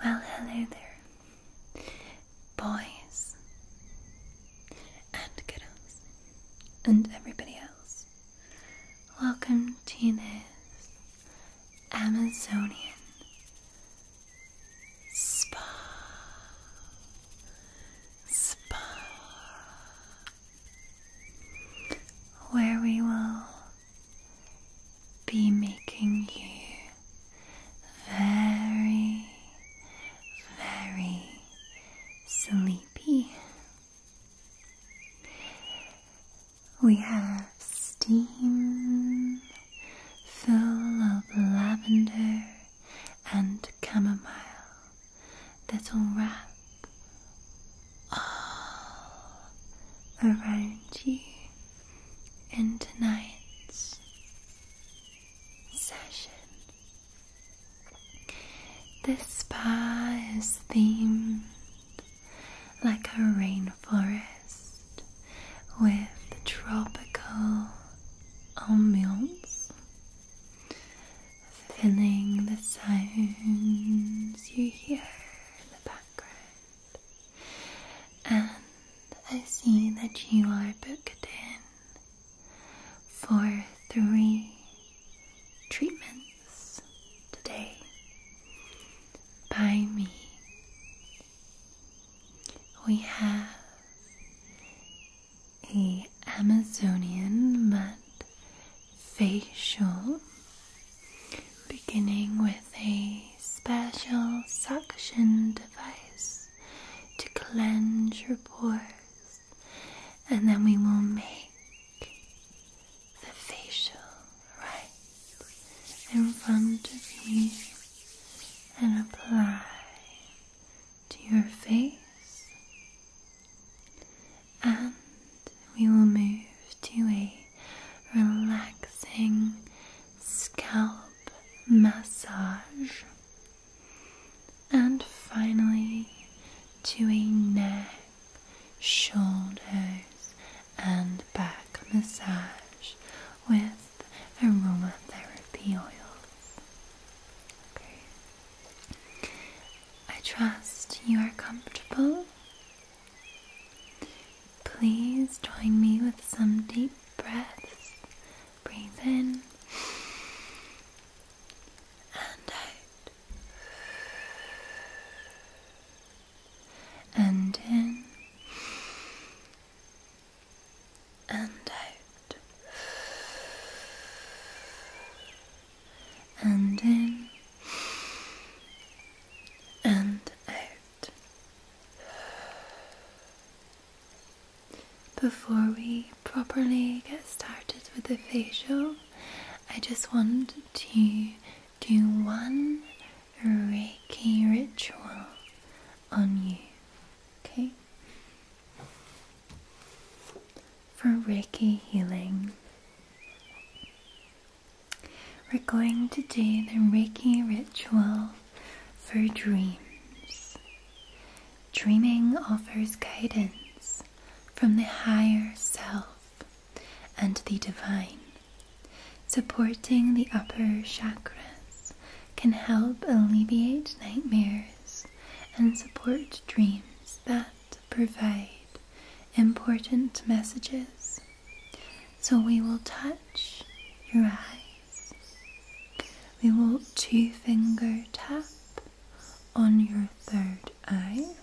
Well, hello there, boys and girls, and everybody else. Welcome to this Amazonian spa. Spa. Where we will be making you very, very sleepy. We have steam full of lavender and chamomile that will wrap all uh, around you in tonight's session. This spa is themed like a rainforest with tropical ambience, filling the sounds you hear in the background. And I see that you are booked in for three treatments today by me. We have a Amazonian mud facial, beginning with a special suction device to cleanse your pores, and then we will make the facial right in front of you and apply to your face, and we will move to a relaxing scalp massage. And finally to a neck, shoulders, and back massage with aromatherapy oils. Okay. I trust you are comfortable Please join me with some deep breaths. Breathe in and out, and in and out, and in and out. Before we properly get started with the facial, I just want to do one Reiki ritual on you. Okay? For Reiki healing, we're going to do the Reiki ritual for dreams. Dreaming offers guidance from the higher self and the divine. Supporting the upper chakras can help alleviate nightmares and support dreams that provide important messages so we will touch your eyes. We will two finger tap on your third eye.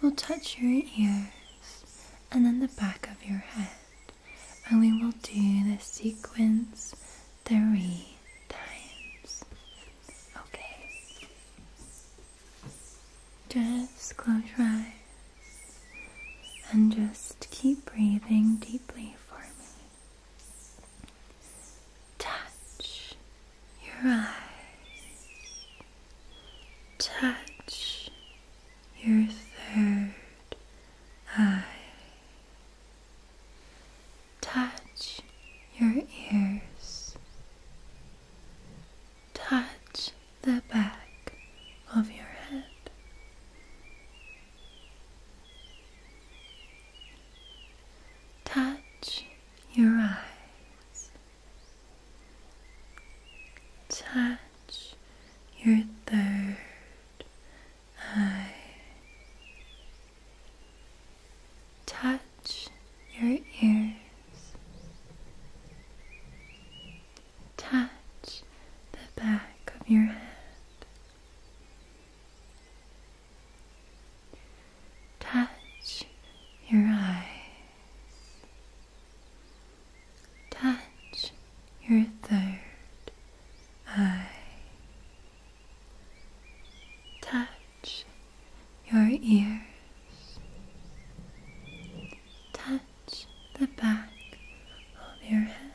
We'll touch your ears and then the back of your head. And we will do the sequence three times. Okay. Just close your eyes and just keep breathing deeply for me. Touch your eyes. Touch your third eye. Touch your ears. Touch the back of your head. Touch your eyes. Touch your third eye. Touch your ears. Touch the back of your head. Touch your eyes. Touch your third eye. Touch your ears. Touch the back of your head.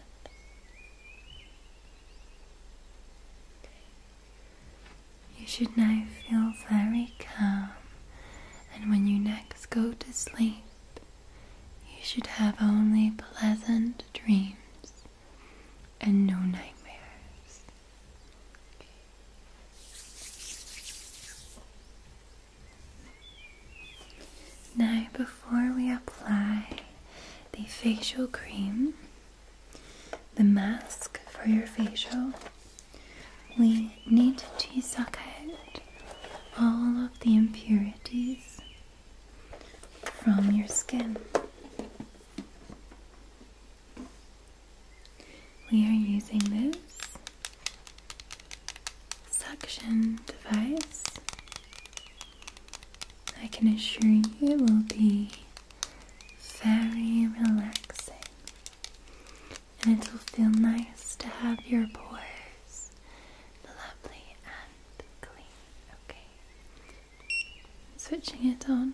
You should now feel very calm, and when you next go to sleep, you should have only pleasant dreams and no nightmares. Now, before we apply the facial cream, the mask for your facial, we need to suck out all of the impurities from your skin we are using this suction device. I can assure you it will be very relaxing and it'll feel nice to have your pores lovely and clean. Okay, switching it on.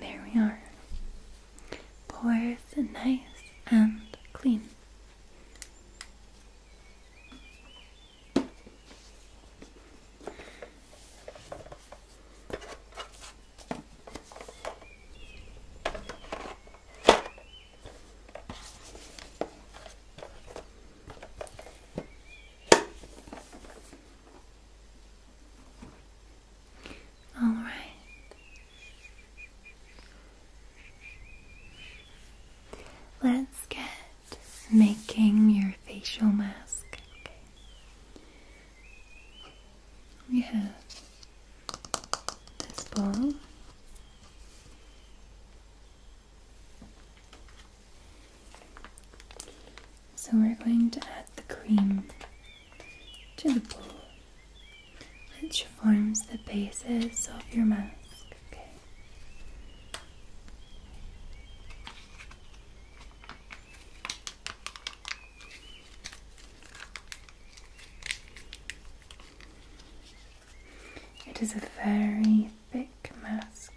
There we are. Pores nice and clean. All right. Let's get making your facial mask. Okay. We have this ball. So we're going to add the cream to the bowl, which forms the basis of your mask. It is a very thick mask.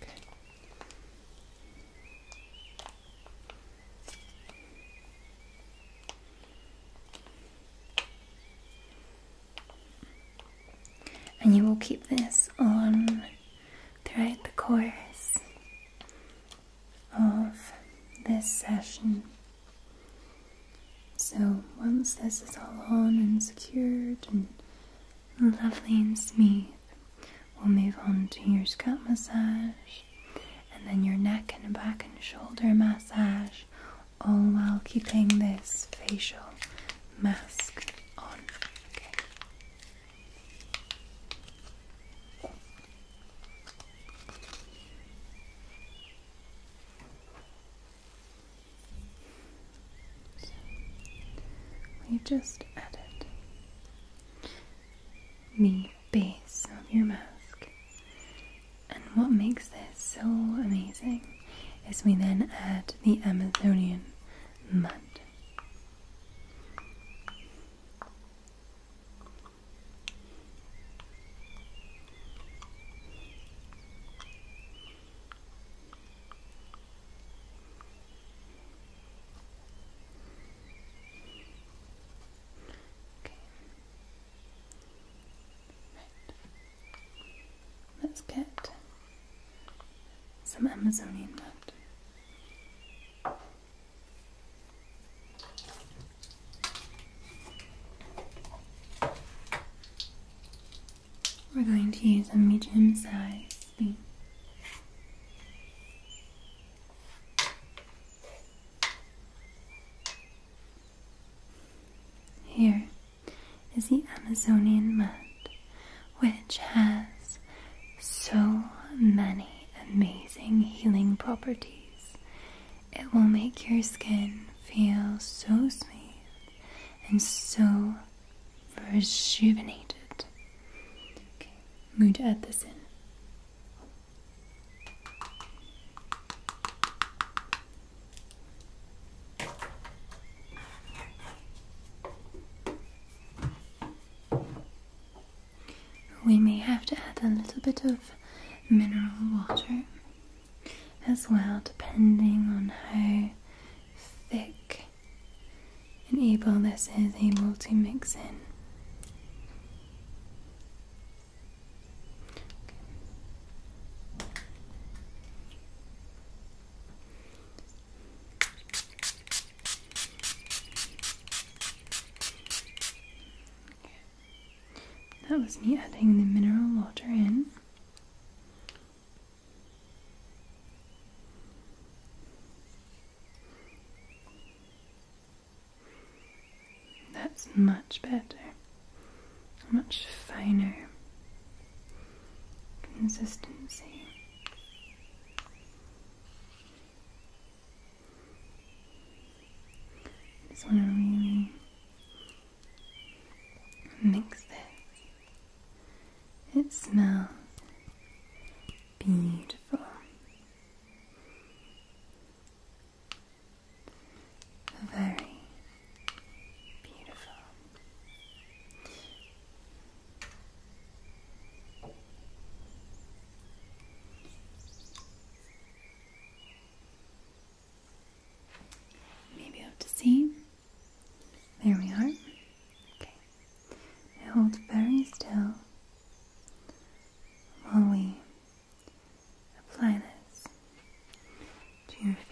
And you will keep this on throughout the course of this session. So once this is all on and secured and lovely and smooth, We'll move on to your scalp massage and then your neck and back and shoulder massage, all while keeping this facial mask on. Okay. we just added the base of your mask. And what makes this so amazing is we then add the Amazonian mud. Let's get some Amazonian left. We're going to use a medium sized thing. Here is the Amazonian mud, which has so many amazing healing properties. It will make your skin feel so smooth and so rejuvenated. Okay, I'm going to add this in. We may have to add a little bit of mineral water as well, depending on how thick and this is able to mix in. That was me adding the mineral water in. That's much better, much finer consistency. just want to really mix this. It smells beautiful. Very beautiful. You may be to see. There we are. Okay. Now hold very still while we apply this to your face.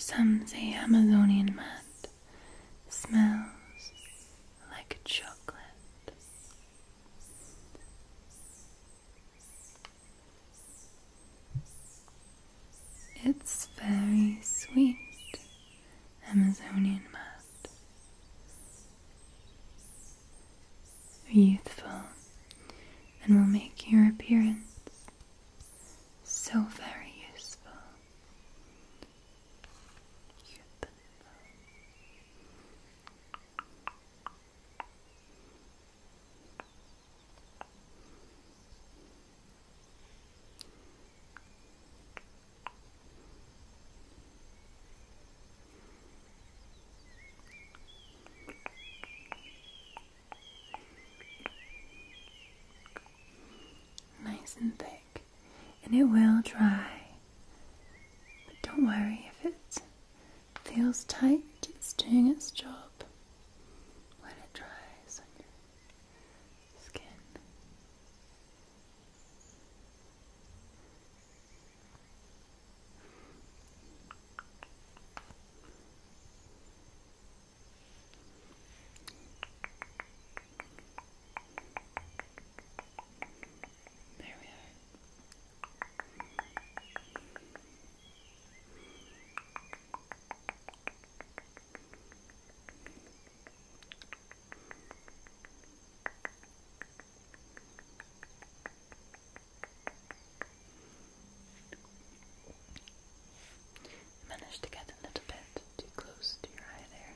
Some say Amazonian mud smells like chocolate. It's very sweet, Amazonian mud. Youthful and will make your appearance so very useful. Youthful. Nice and thick, and it will dry. But don't worry if it's Feels tight, it's doing its job when it dries on your skin. There we are. I managed to get a little bit too close to your eye there.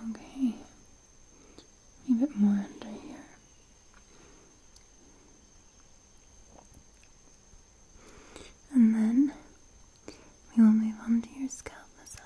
Okay, a bit more under here. And then we will move on to your scalp massage.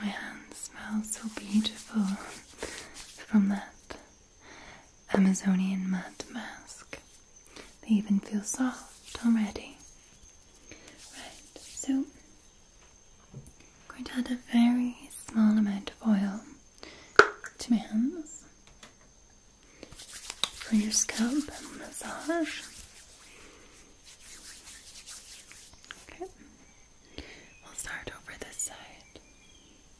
My hand smells so beautiful from that Amazonian mud mask. They even feel soft already. Right, so I'm going to add a very small amount of oil to my hands for your scalp and massage. Okay, we'll start over this side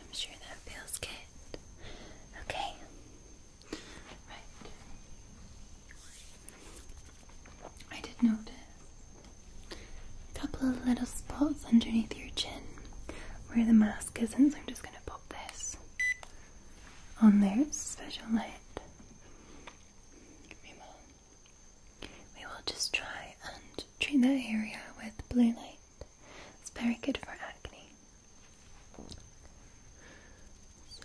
I'm sure that feels good. Okay. Right. I did notice a couple of little spots underneath your chin where the mask isn't, so I'm just going to pop this on there. It's a special light. We will just try and treat that area with blue light. It's very good for acne. So,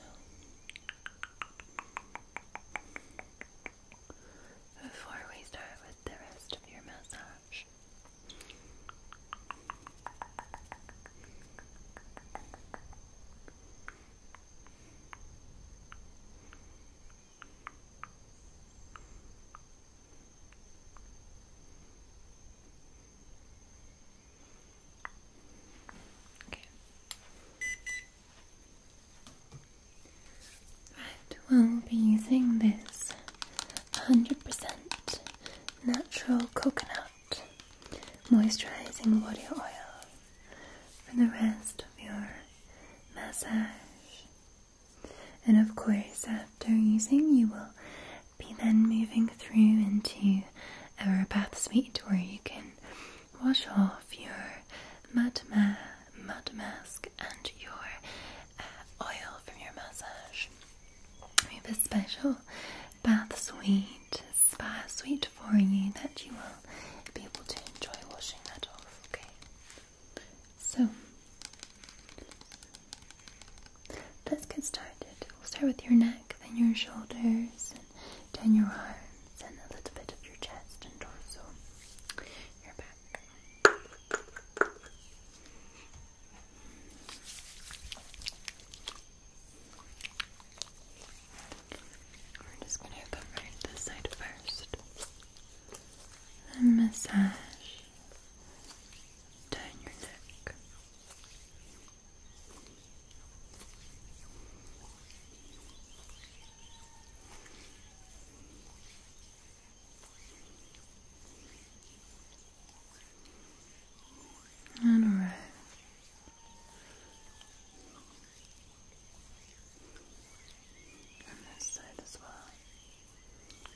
before we start with the rest of your massage, Okay. we'll be using this 100% natural coconut moisturizing body oil for the rest of your massage. And of course, after using, you will be then moving through into our bath suite where you can wash off your mud, mask and your uh, oil from your massage. We have a special bath suite, spa suite for you that you will be able to enjoy washing that off. Okay. So let's get started. We'll start with your neck, then your shoulders, and down your arms, and a little bit of your chest and torso. Your back. We're just going to cover this side first. Then massage down your neck. And and this side as well. Good.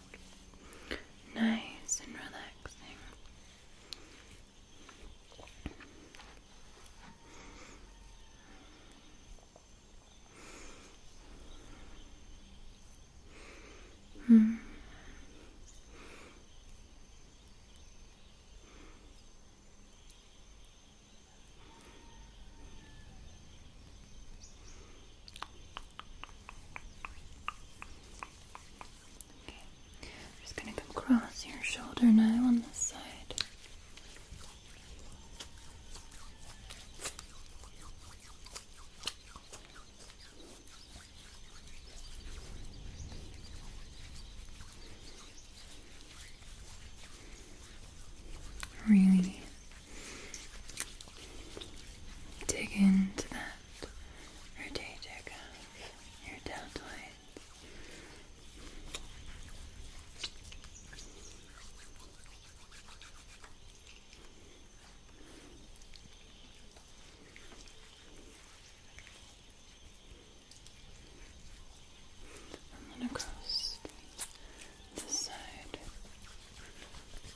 nice and relaxing. Hmm. I'm just gonna come across your shoulder now on this side. Really dig into that and rotator cuff, your deltoids. I'm going to cross side.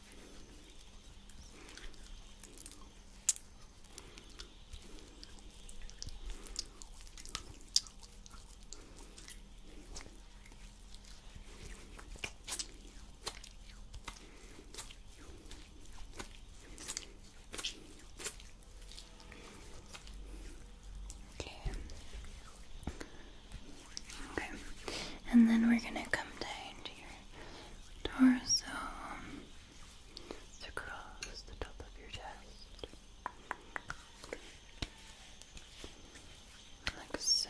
Okay. Okay. And then we're going to come down to your torso, to the top of your chest. Like so.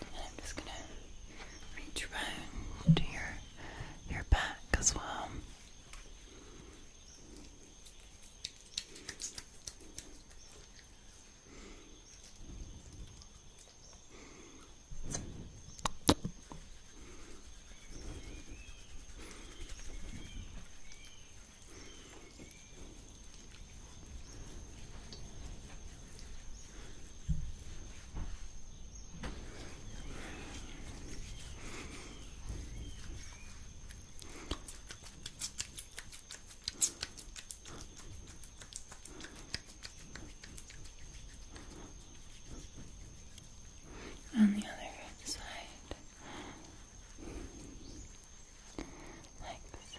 And I'm just gonna reach around to your your back as well. On the other side, like so.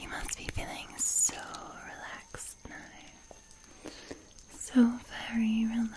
You must be feeling so relaxed now. So very relaxed.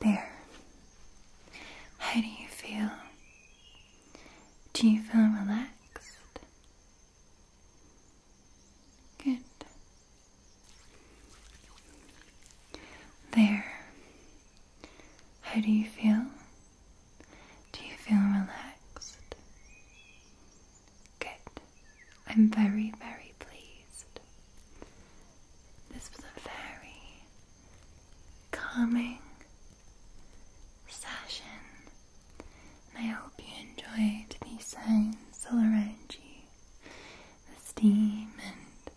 There. How do you feel? Do you feel relaxed? Good. There. How do you feel? Do you feel relaxed? Good. I'm very, very pleased. This was a very calming session I hope you enjoy the signs all around you the steam and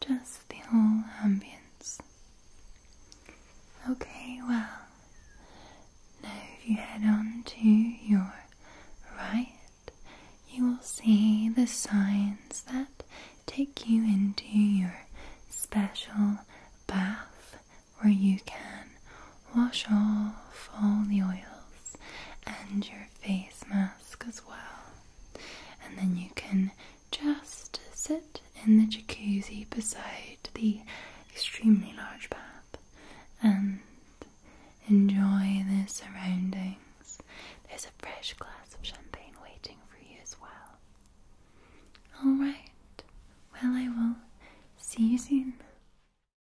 just the whole ambience. Okay, well, now if you head on to your right, you will see the signs that take you into your special bath where you can wash off all the oils and your face mask as well. And then you can just sit in the jacuzzi beside the extremely large bath and enjoy the surroundings. There's a fresh glass of champagne waiting for you as well. Alright, well, I will see you soon.